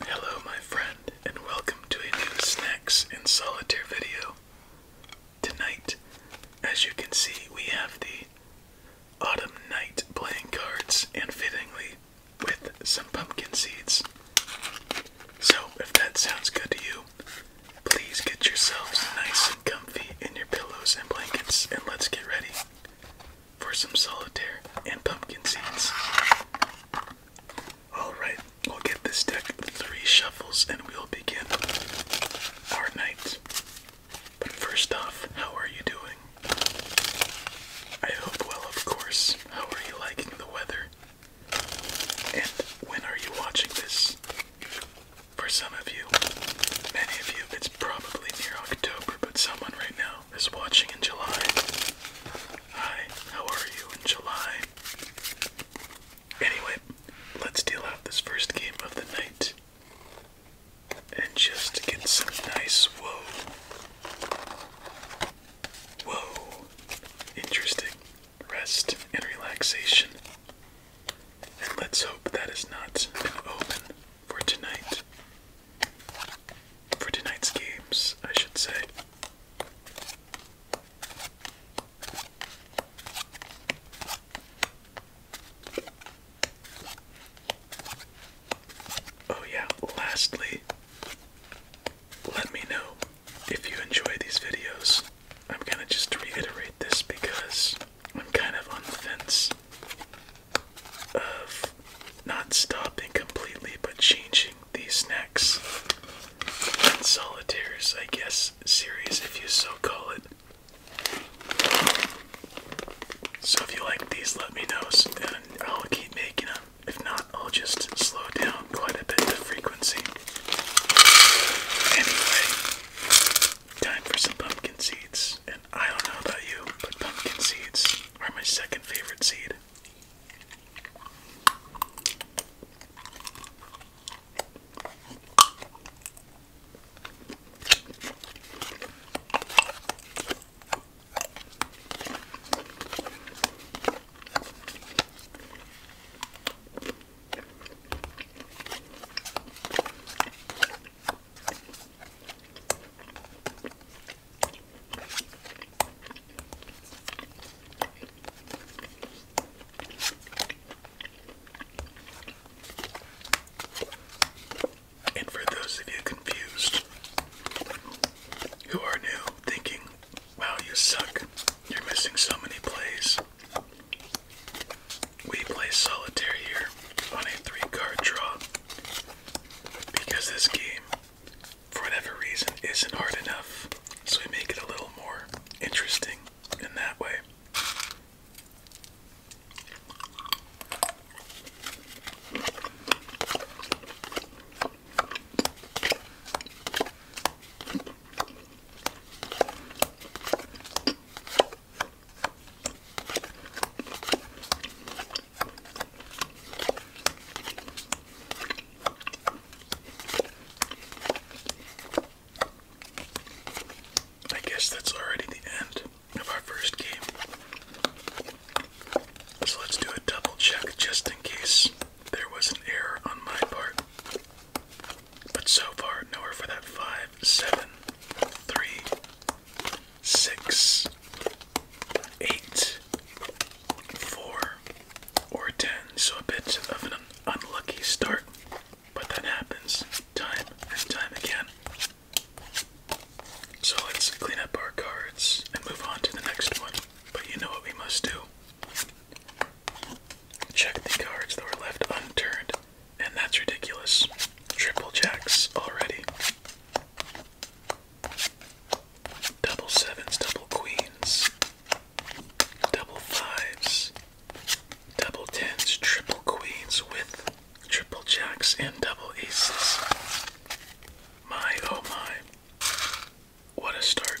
Hello, my friend, and welcome to a new Snacks in Solitaire video. Tonight, as you can see, we have the Autumn Night playing cards, and fittingly, with some pumpkin seeds. So, if that sounds good to you, Please get yourselves nice and comfy in your pillows and blankets, and let's get ready for some solitaire and pumpkin seeds. Alright, we'll get this deck three shuffles and we'll begin our night. But first off, how are you doing? I hope well, of course. How are you liking the weather? And when are you watching this? For some of you, many of you, it's probably near October, but someone right now is watching in July. Hi, how are you in July? Anyway, let's deal out this first game of the night and just get some nice whoa. Whoa. Interesting rest and relaxation. And let's hope that is not an omen for tonight. For tonight's games, I should say. Oh, yeah, lastly, let me know if you enjoy these videos. I'm gonna just reiterate this because I'm kind of on the fence of not stopping completely but changing these snacks and solitaires, I guess, series if you so call it. So if you like these, let me know and I'll keep making them. If not, I'll just slow down quite a bit the frequency. Anyway, Time for some pumpkin seeds. And I don't know about you, but pumpkin seeds are my second favorite seed. And for those of you confused who are new thinking, wow, you suck, you're missing so many plays, we play solitaire here on a three card draw because this game, for whatever reason, isn't hard enough, so we make it a little more interesting in that way. I guess that's already the end of our first game. So let's do a double check just in case there was an error on my part. But so far, nowhere for that five, seven, three, six, eight, four, or ten. So a bit of an unlucky start, but that happens time and time again. So let's clean up our cards and move on to the next one. But you know what we must do. Check the cards that were left unturned, and that's ridiculous. Triple jacks already. Double sevens, double queens, double fives, double tens, triple queens with triple jacks and double aces. My oh my. What a start.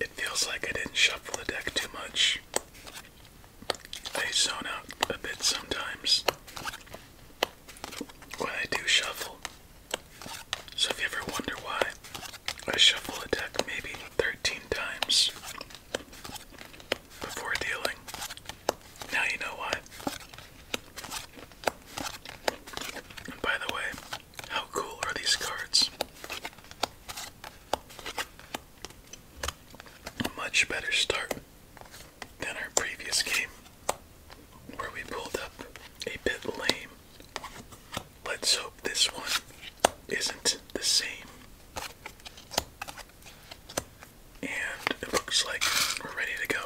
It feels like I didn't shuffle the deck too much. They zone out a bit sometimes when I do shuffle. So if you ever wonder why I shuffle a deck maybe 13 times before dealing, now you know why. And by the way, how cool are these cards? much better start than our previous game, where we pulled up a bit lame Let's hope this one isn't the same. And it looks like we're ready to go.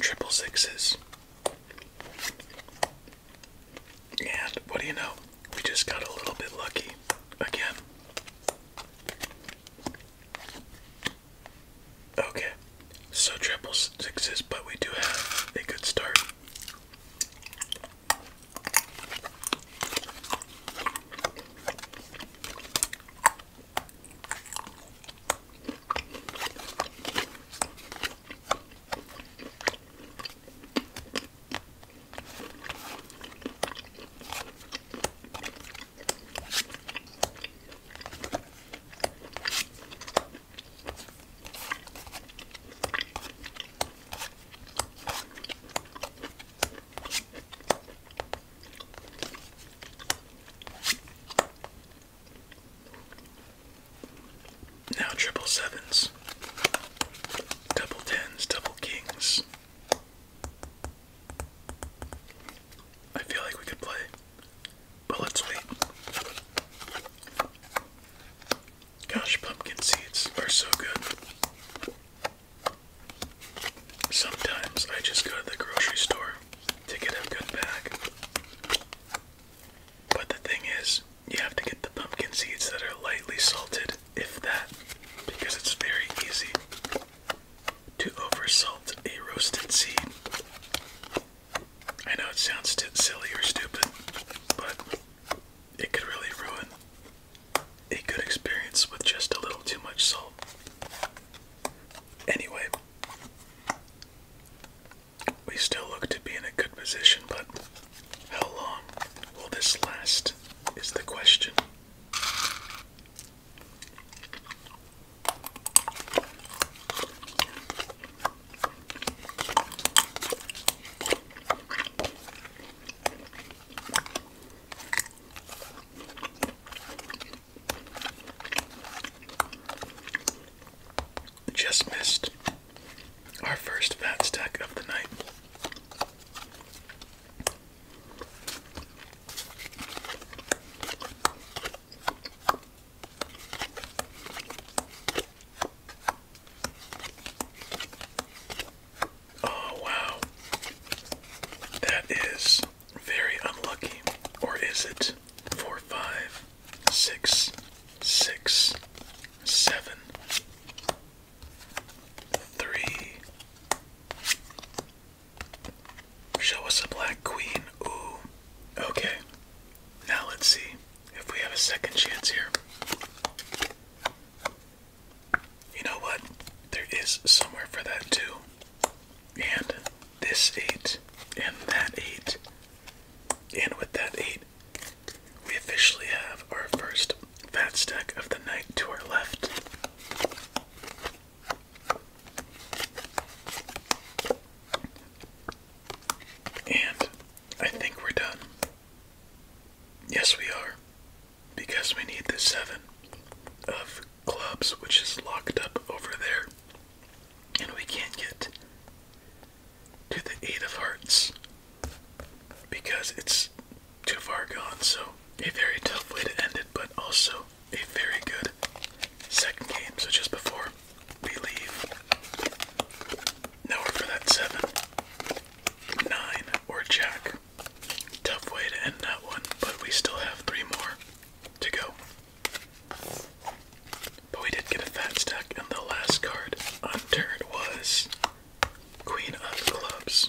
Triple sixes. And what do you know? We just got a little bit lucky again. Okay, so triple sixes, but we do have a good start. Now triple sevens, double tens, double kings. I feel like we could play, but let's wait. Gosh, pumpkin seeds are so good. Sometimes I just go to the grocery store to get a good bag. But the thing is, you have to get the pumpkin seeds that are lightly salted if that, because it's very easy to oversalt a roasted seed. I know it sounds silly or stupid, but it could really ruin a good experience with just a little too much salt. Anyway, we still look to be in a good position, but how long will this last? Is the question. Just missed our first fat stack of the night. Oh, wow. That is very unlucky. Or is it? Four, five, six, six, seven, Three. Show us a black queen. Ooh. Okay. Now let's see if we have a second chance here. You know what? There is somewhere for that too. And this eight, and that eight, and with that eight, we officially have our first fat stack of the night to our left. And I think we're done. Yes, we are. Because we need the seven of clubs, which is locked up over there. And we can't get to the eight of hearts, because it's too far gone. So, a very tough way to end it, but also a very good second game. So, just before we leave, now for that seven, nine, or jack. Tough way to end that one, but we still have three more to go. But we did get a fat stack, and the last card on turn was Queen of Clubs.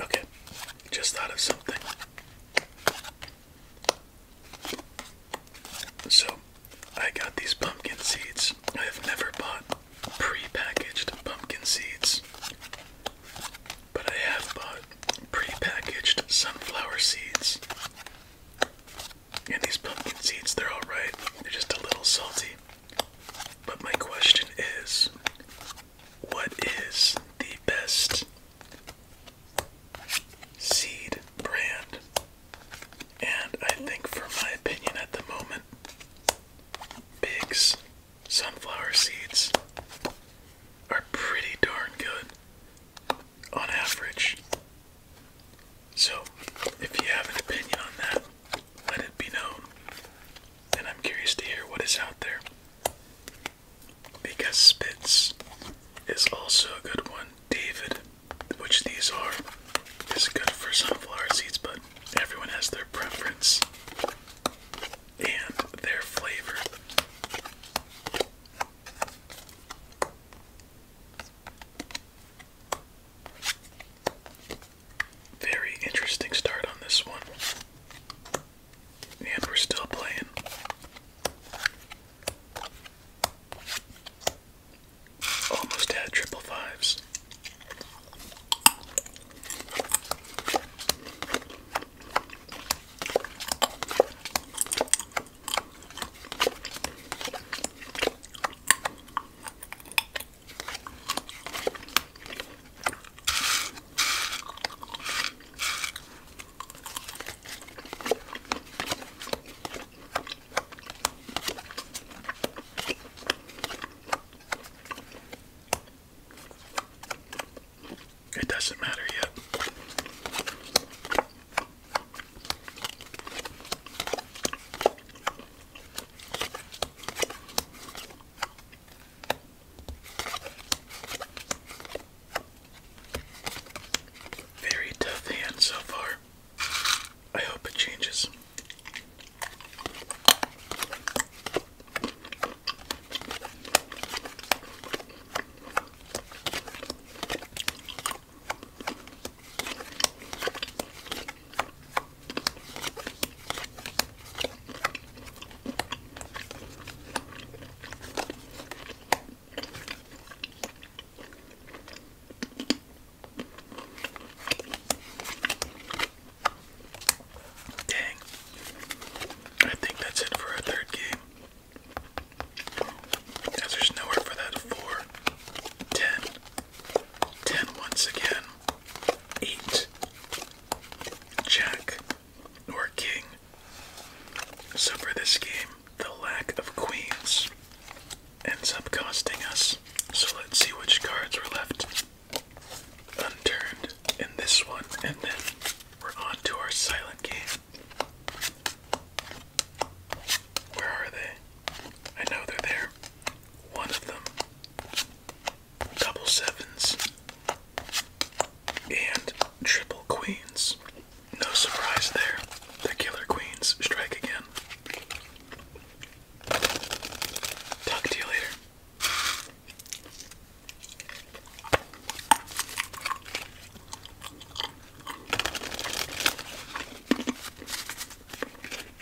Okay, just thought of something. So, I got these pumpkin seeds. I have never bought pre-packaged pumpkin seeds, but I have bought pre-packaged sunflower seeds. And these pumpkin seeds, they're alright. They're just a little salty. But my question is what is the best seed brand? And I think, for my opinion at the moment, Biggs sunflower seeds are pretty darn good on average. So, if you have an opinion on that, let it be known. And I'm curious to hear what is out there. Because Spitz is also a good one. David, which these are, is good for sunflower seeds, but everyone has their preference and their flavor. Very interesting start on this one. And we're still playing. Almost had triple fives. It doesn't matter yet. Very tough hand so far. I hope it changes. Dang. I think that's it for our third game. As there's nowhere for that 4, Ten once again. Eight. Jack or King. So for this game, the lack of queens ends up costing us. So let's see which cards were left unturned in this one, and then we're on to our silent game. Where are they? I know they're there one of them, double sevens, and triple queens. No surprise there. The killer queens strike again. Talk to you later.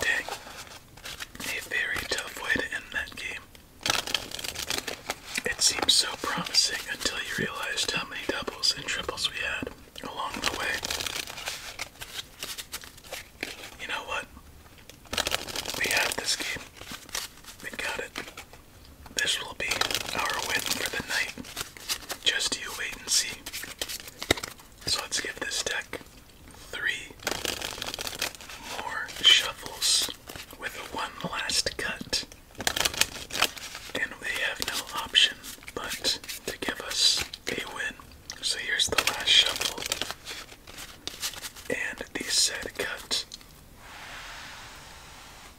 Dang. A very tough way to end that game. It seemed so promising until you realized how many doubles and triples we had along the way. You know what? We have this game. we got it. This will be our win for the night. Just you wait and see. So let's give this deck three more shuffles with one last cut. And we have no option but to give us a win. So here's the last shuffle. And the said cut.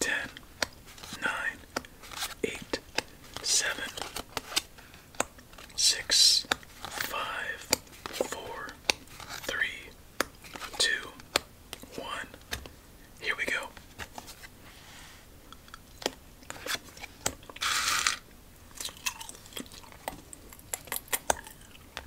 ten, nine, eight, seven, six, five, four, three, two, one. Here we go.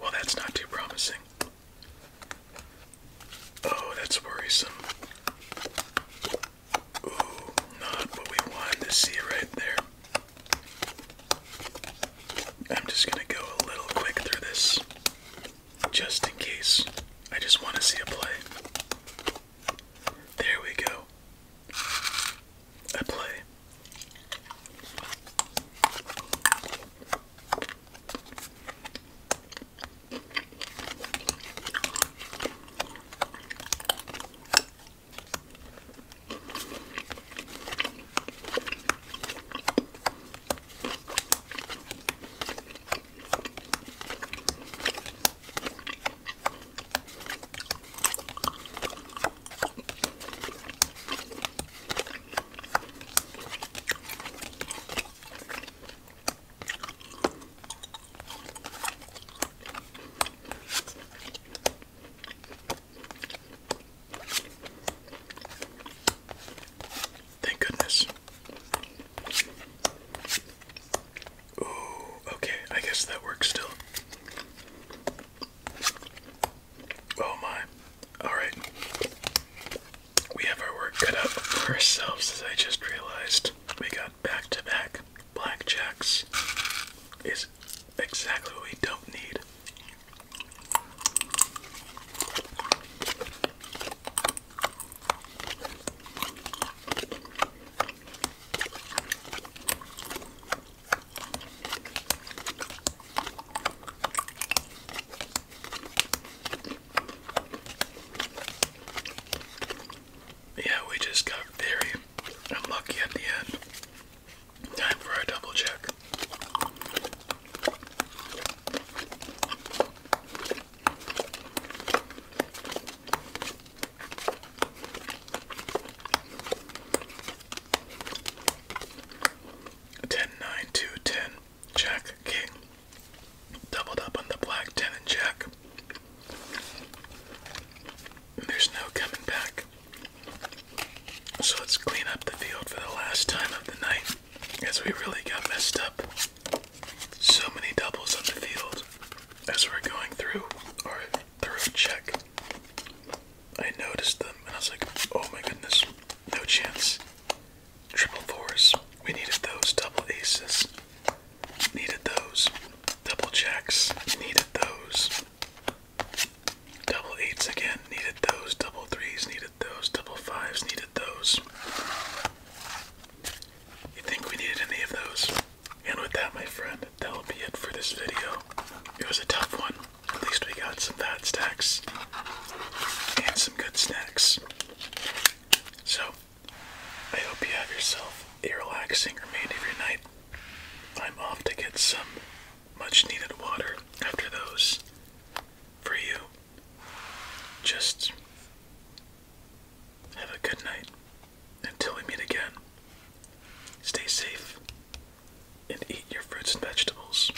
Well, that's not too promising. Oh, that's worrisome. Ooh, not what we wanted to see right there. I'm just gonna go a little quick through this, just in case. I just want to see a play. There we go. I play. Thank goodness. Ooh, okay, I guess that works still. Oh my. Alright. We have our work cut out for ourselves as I just realized. We got back to back blackjacks. Is exactly what we don't need. Yeah, we just got very unlucky at the end. Time for our double check. Ten nine two ten Jack King doubled up on the black ten and Jack. There's no coming back. So let's clean up the field for the last time of the night as we really got messed up. So many doubles on the field as we're going through, or through check. I noticed them and I was like, oh my goodness, no chance. Triple fours, we needed those. Double aces, needed those. Double jacks, needed those. Double eights again, needed those. Double threes, needed those. Double fives, needed those. You think we needed any of those? And with that, my friend, that'll be it for this video. It was a tough one. At least we got some fat stacks and some good snacks. So, I hope you have yourself a relaxing remainder of your night. I'm off to get some much needed water after those for you. Just have a good night. Until we meet again, stay safe and eat your fruits and vegetables.